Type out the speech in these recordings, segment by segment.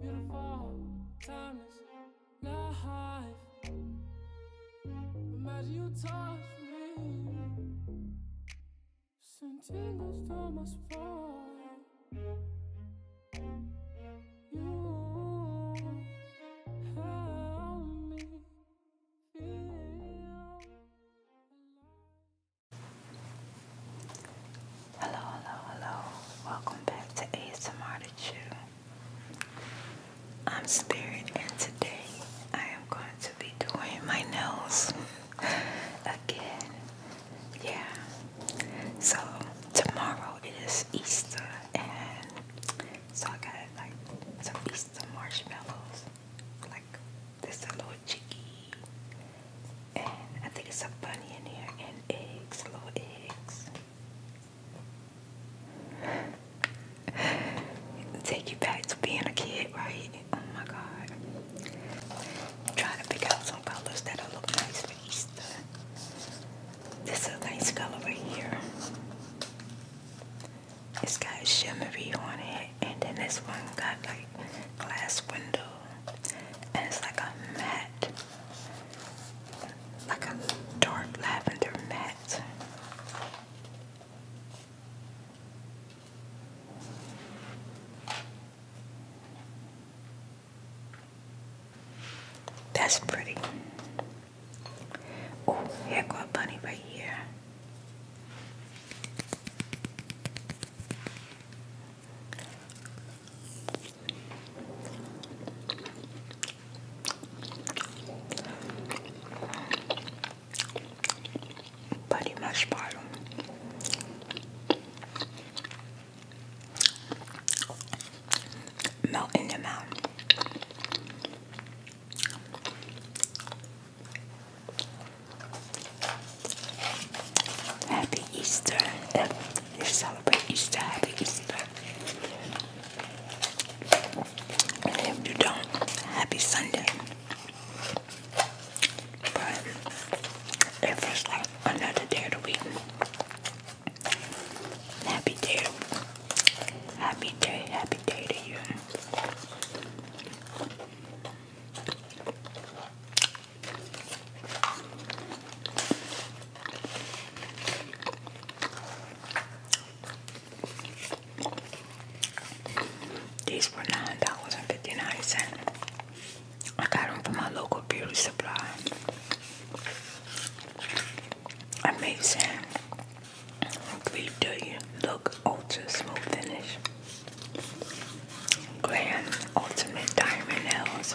Beautiful, timeless life. Imagine you touch You help me feel alive. Hello, hello, hello. Welcome back to ASMR to Chew. I'm Spirit, and today I am going to be doing my nails again. Yeah. So tomorrow it is Easter, and so I got like some Easter marshmallows, like this a little cheeky, and I think it's a bunny in here and eggs, little eggs. Take you back to being a kid, right? Oh my god. Try to pick out some colors that'll look nice for This is a nice color right here. It's got a shimmery on it, and then this one got like glass window, and it's like a matte like a dark lavender matte. That's pretty. Oh, here go a bunny right here. Parei mais para melt in your mouth. Happy Easter. They celebrate Easter, happy Easter. And if you don't, happy Sunday. But it another day of the week. Happy day. Happy day, happy day to you. These were nine dollars and fifty nine cents. I got them from my local beauty supply. Amazing. Great do look ultra smooth finish. Grand Ultimate Diamond Nails.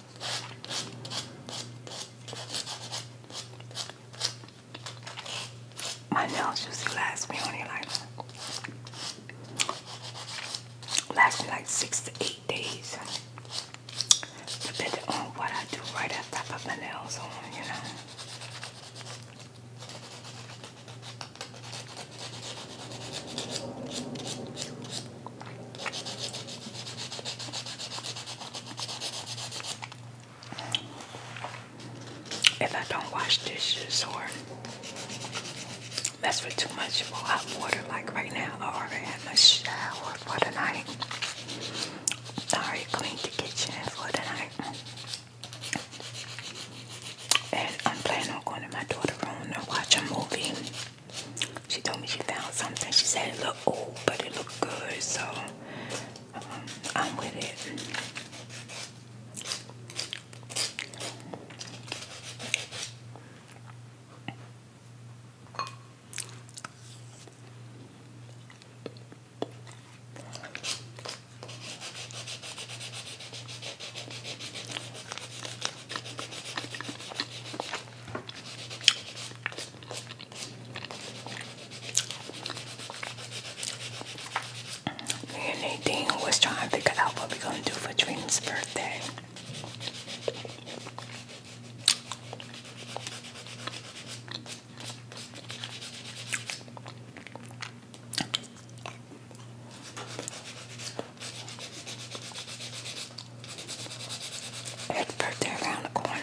My nails used last me only like last me like six to eight days, depending on what I do right after I put my nails on, you know. If I don't wash dishes or mess with too much hot water, like right now, I have had my shower for the night. I already cleaned the kitchen for the night. And I'm planning on going to my daughter's room and watch a movie. She told me she found something. She said it looked old, but it looked good, so I'm with it. Me and was trying to figure out what we're gonna do for Trent's birthday. birthday around the corner.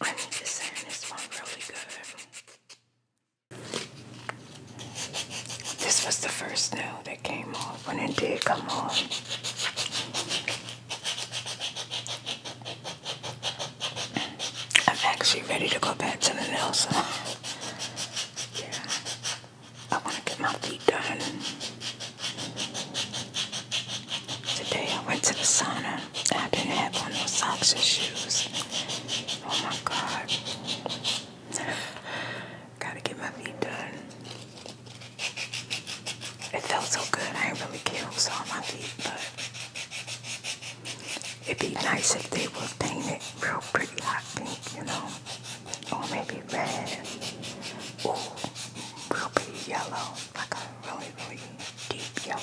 I need to say this one really good. This was the first nail that came off when it did come off. I'm actually ready to go back to the nail Yeah. I want to get my feet done. Today I went to the sauna. I didn't have on those socks or shoes. Oh my god. Gotta get my feet done. It felt so good. I didn't really care who saw my feet, but it'd be nice if they were painted real pretty hot pink, you know? Or maybe red. Ooh, real pretty yellow like a really, really deep yellow.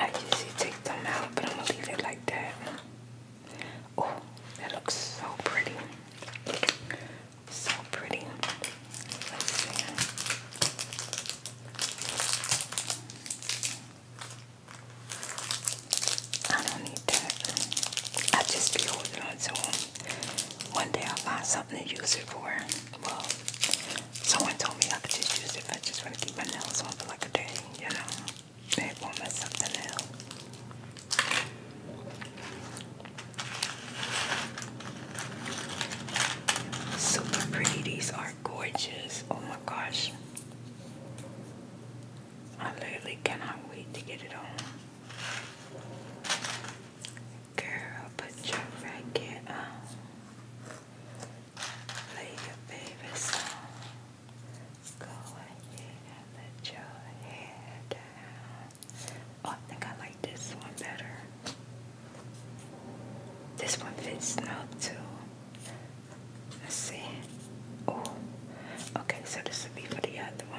I usually take them out, but I'm gonna leave it like that. Oh, that looks so pretty. So pretty. I don't need that. I just be holding on to One day I'll find something to use it for. Well, someone told me I could just use it if I just want to keep my nails on for like a day, you know. Maybe we'll something else. Super pretty. These are gorgeous. Oh my gosh. I literally cannot wait to get it on. Girl, put your racket on. Play your favorite song. Go ahead and let your hair down. Oh, I think I like this one better. This one fits now too. Let's see. Oh, okay, so this would be for the other one.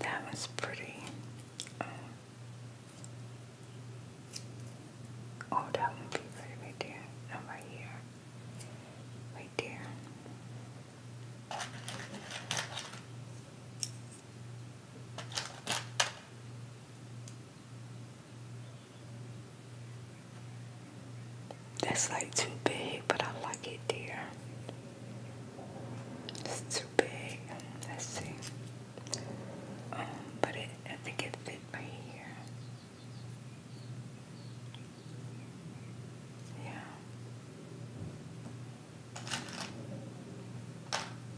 That was pretty. Um, oh, that would be right, there. Not right here. Right there. That's like too big, but I like it there. It's too big. Let's see. Um, it, I think it fit right here. Yeah.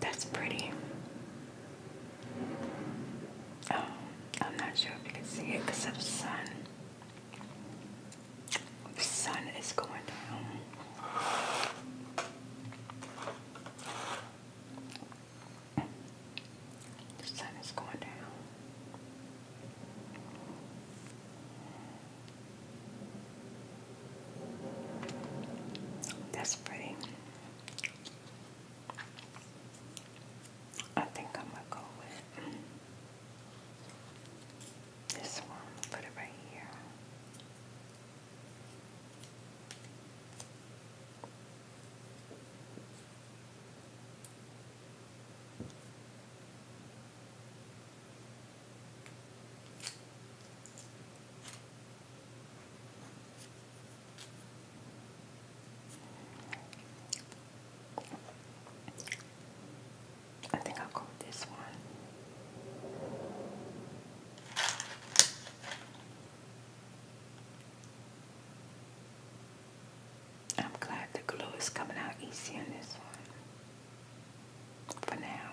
That's pretty. Oh, I'm not sure if you can see it because the sun. The sun is going down. The sun is going down. That's pretty. I think I'm gonna go with this one. Put it right here. I think I'll go with this one. I'm glad the glue is coming out easy on this one for now.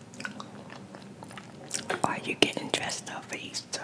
Are you getting dressed up for Easter?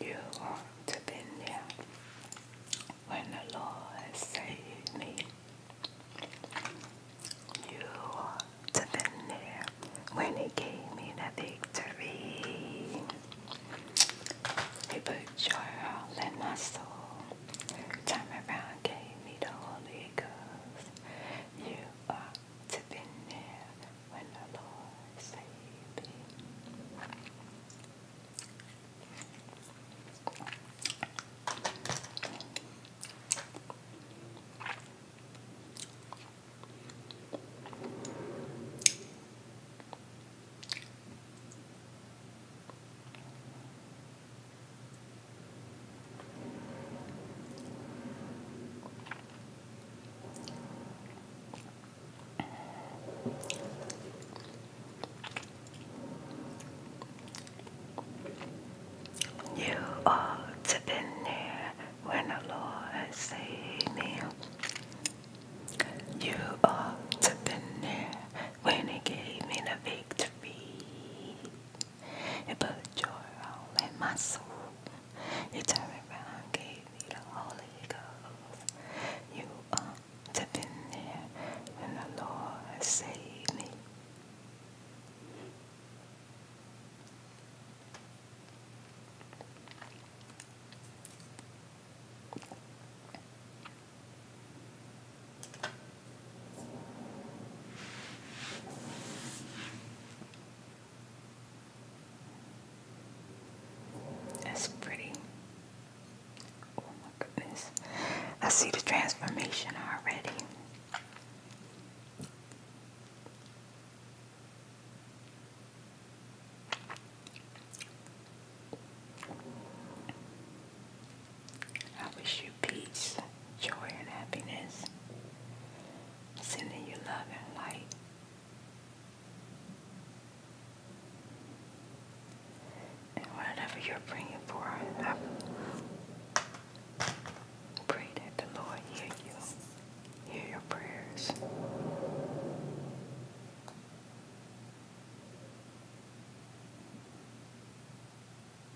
You ought to be there when the Lord saved me. You ought to be there when He gave me the victory. He put joy in my soul. Time around gave me the Holy Ghost. You ought to be there when the Lord saved him. You ought to been there when the Lord saved me. You ought to been there when He gave me the victory. It brought joy all in my soul. You turned around, gave me the Holy Ghost. You have been there when the Lord saved me. That's pretty. Oh my goodness. I see the transformation already. I wish you peace, joy, and happiness. Sending you love and light. And whatever you're praying for, I pray that Lord hear you, hear your prayers.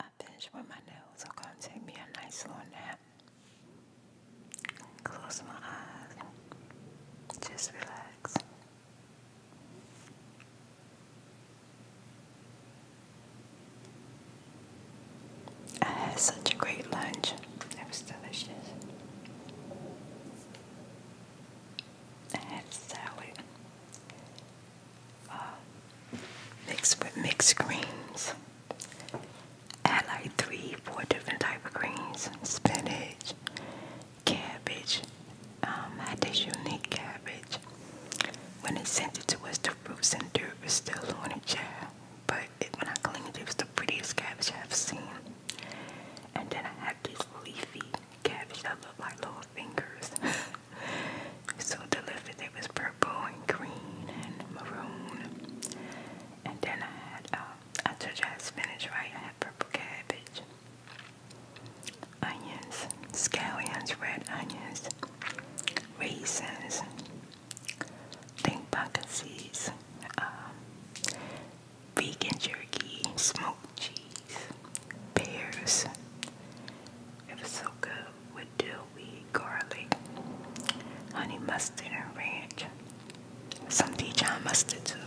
I finish with my nails, I'm gonna take me a nice little nap. Close my eyes. Just relax. I had such a great lunch. It was delicious. I had salad. Uh, mixed with mixed greens. Add like three, four different type of greens: spinach, cabbage. Um, I did unique cabbage. When they sent it to us, the fruits and dirt was still on it, yeah. But when I cleaned it, it was the prettiest cabbage I've seen. And then I had this leafy cabbage that looked like lettuce fingers. so the lipstick was purple and green and maroon. And then I had, um, told you I had spinach, right? I had purple cabbage, onions, scallions, red onions, raisins, think pumpkin seeds, um, vegan jerky, smoked cheese, pears. It was so good with dill weed, garlic, honey mustard, ranch. Some Dijon mustard too.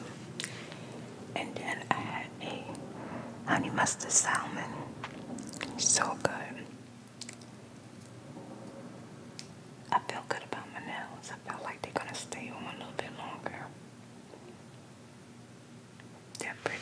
And then I had a honey mustard salmon. So good. I feel good about my nails. I feel like they're gonna stay on a little bit longer. They're pretty.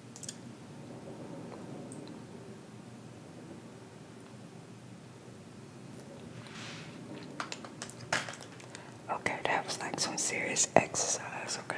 Okay, that was like some serious exercise, okay?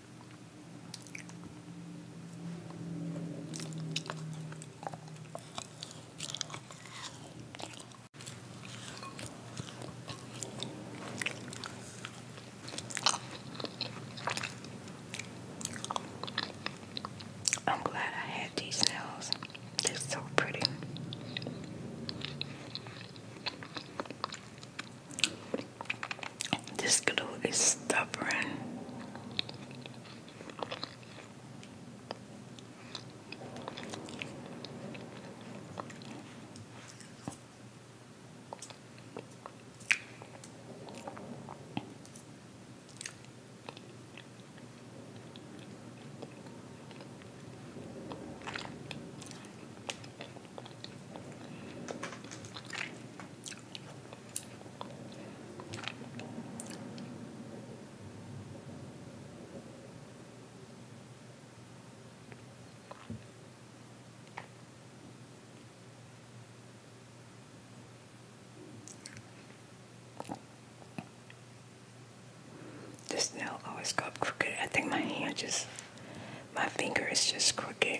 I'm glad I had these nails. They're so pretty. This glue is stubborn. This nail always got crooked. I think my hand just, my finger is just crooked.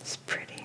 It's pretty.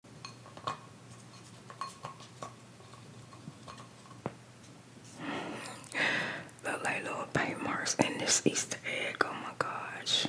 Look little paint marks in this Easter egg. Oh my gosh.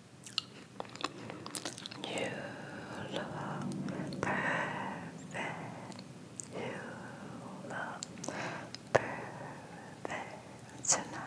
You look perfect. You look perfect tonight.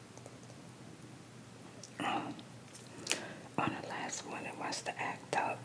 on the last one, it wants to act up.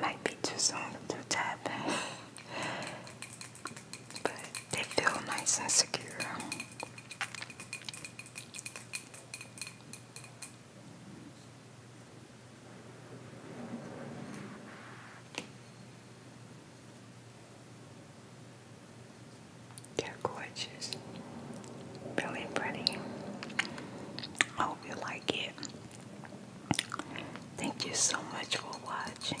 Might be too soon to tap, but they feel nice and secure. They're gorgeous. Really pretty. I hope you like it. Thank you so much for watching.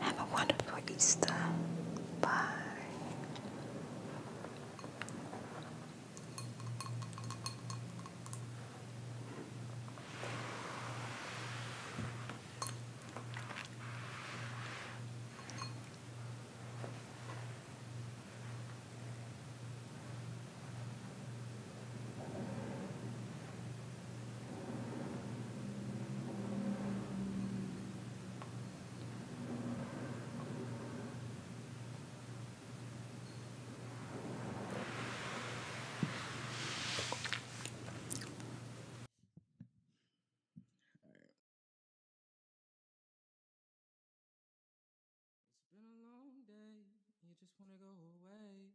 Have a wonderful Easter. Bye. It's been a long day, and you just want to go away.